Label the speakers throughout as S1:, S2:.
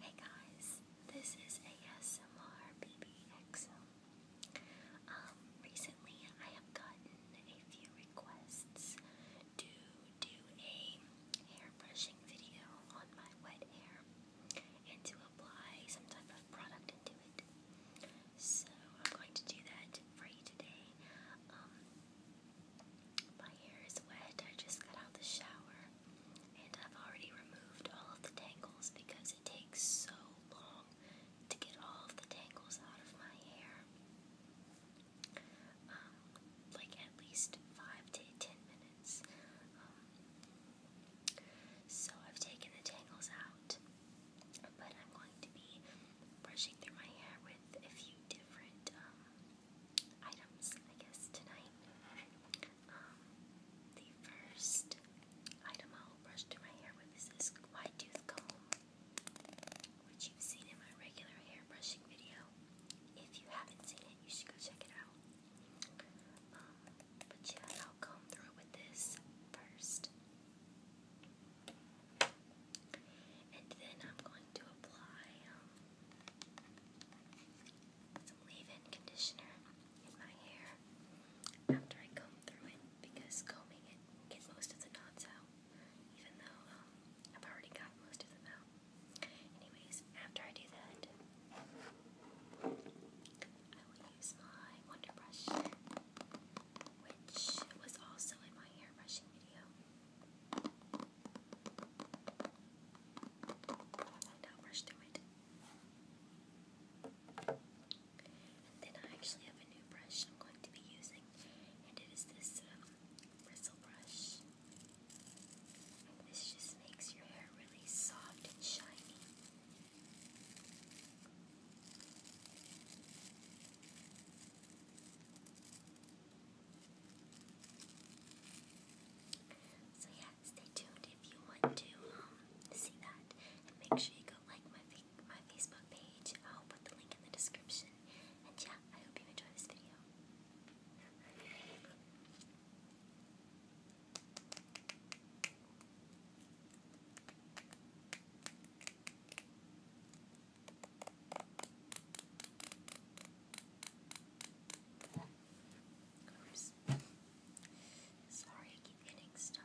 S1: Hey guys, this is ASMR BBXM. Um, recently I have gotten a few requests to do a hair brushing video on my wet hair and to apply some type of product into it. So I'm going to do that for you today. Um, my hair is wet. I just got out the shower and I've already removed all of the tangles because it takes so long to get all of the tangles out of my hair. Um, like at least five to ten minutes. Um, so I've taken the tangles out, but I'm going to be brushing through my hair with a few different um, items, I guess, tonight. Um, the first item I'll brush through my hair with is this tooth comb, which you've seen in my regular hair brushing video. If you haven't seen it, you should go check it out. Um, but yeah, I'll comb through with this first. And then I'm going to apply um, some leave-in conditioner in my hair after I comb through it because combing it will get most of the knots out, even though um, I've already got most of them out. Anyways, after I do that, I will use my Wonder Brush, which was also in my hair brushing video. Don't rush through it. then I actually have a new brush I'm going to be using, and it is this um, bristle brush. this just makes your hair really soft and shiny. So yeah, stay tuned if you want to um, see that, and make sure you go like my my Facebook page. I'll put the link in the description. And yeah, I hope you enjoy this video. Oops. Sorry, I keep hitting stop.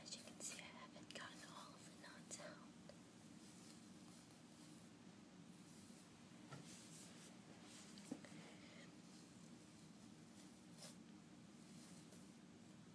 S1: As you can see, I haven't gotten all of the knots out.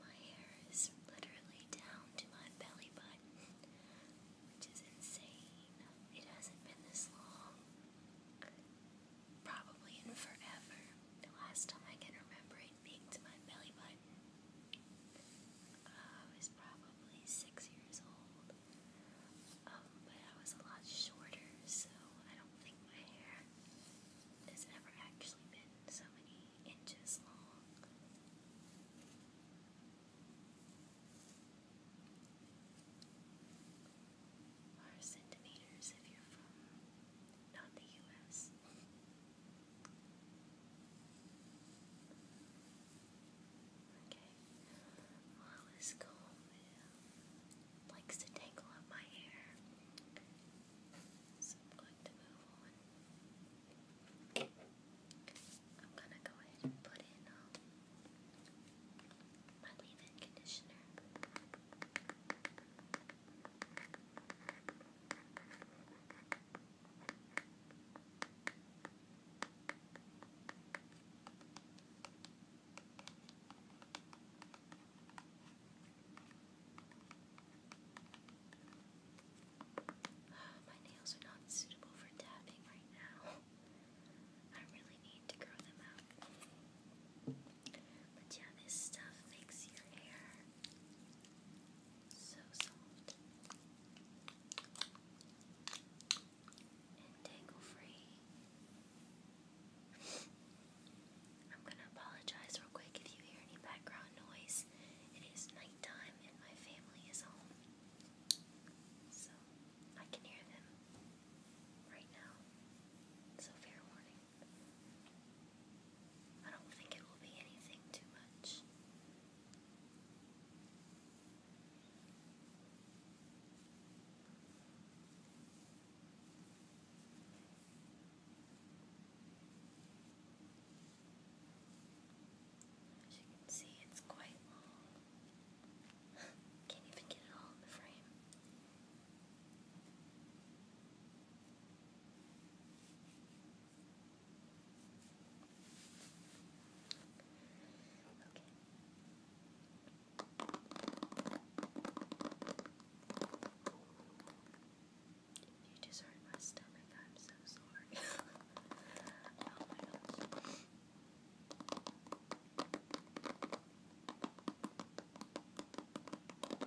S1: My hair is literally down to my belly button, which is insane. It hasn't been this long. Probably in forever. The last time I can remember it being to my belly button I was probably six years old, um, but I was a lot shorter, so I don't think my hair has ever actually been so many inches long. Or centimeters if you're from not the US. Okay. Well, this comb likes to tangle up my hair, so I'm going to move on. I'm gonna go ahead and put in um, my leave-in conditioner. My nails are not suitable for tapping right now. I really need to grow them out. But yeah, this stuff makes your hair so soft and tangle free. I'm gonna apologize real quick if you hear any background noise. It is nighttime and my family is home. So I can hear them right now. So fair warning. I don't think it will be anything too much. you can see, it's quite long. Can't even get it all in the frame. You just hurt my stomach. I'm so sorry. Oh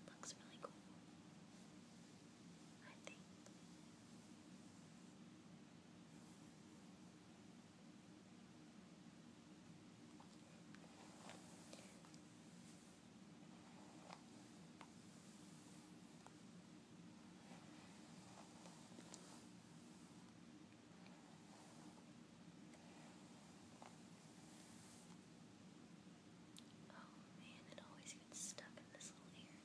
S1: It looks really cool. I think. Oh man, it always stuck in this little area.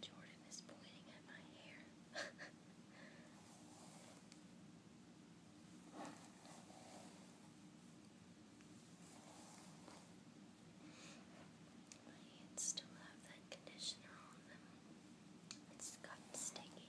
S1: Jordan is pointing at my hair. my still have that conditioner on them. It's gotten sticky.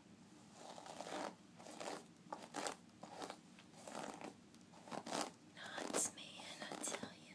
S1: Nuts, man, I tell you.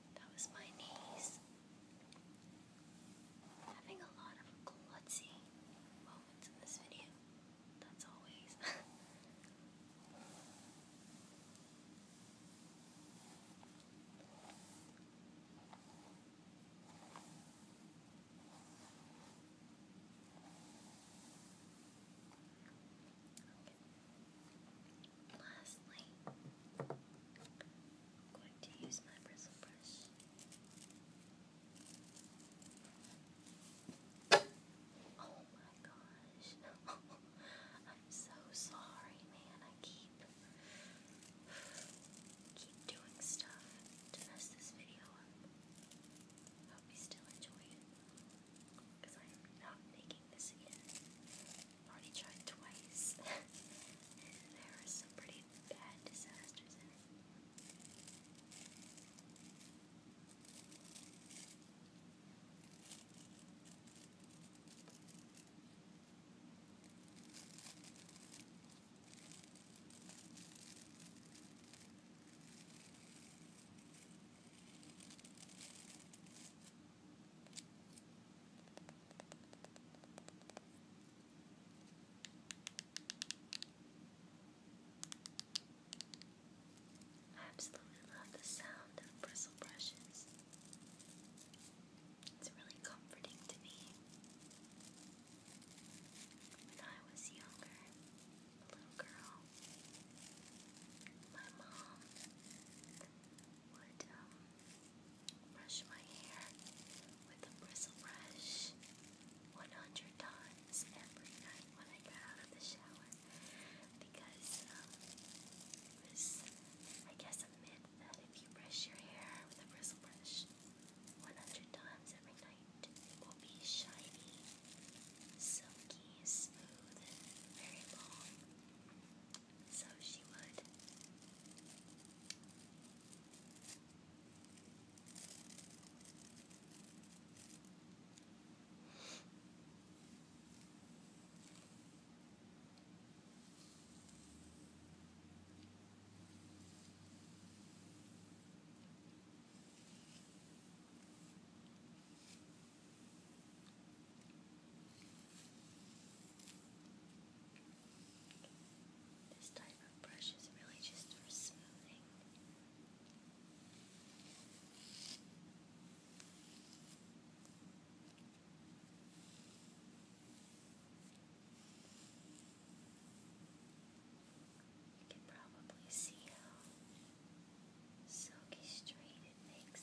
S1: That was my knees. Having a lot of glutzy moments in this video. That's always. Lastly, I'm going to use my bristle brush. Oh my gosh. I'm so sorry, man. I keep keep doing stuff to mess this video up. Hope you still enjoy Because I am not making this again. I've already tried twice, and there were some pretty bad disasters in it. I absolutely love the sound of bristle brushes. It's really comforting to me. When I was younger, a little girl, my mom would um, brush my hair with a bristle brush 100 times every night when I got out of the shower because um, it was, I guess, a myth that if you brush your hair with a bristle brush 100 times every night, it will be shiny, silky, smooth, very long so she would. This type of brush is really just for smoothing. You can probably see how silky straight it makes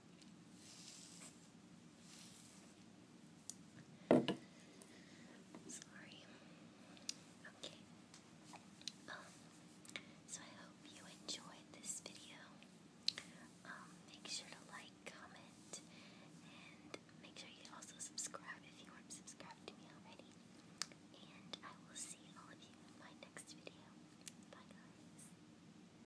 S1: Sorry. Okay. Um, so I hope you enjoyed this video. Um, make sure to like, comment, and make sure you also subscribe if you aren't subscribed to me already. And I will see all of you in my next video. Bye guys.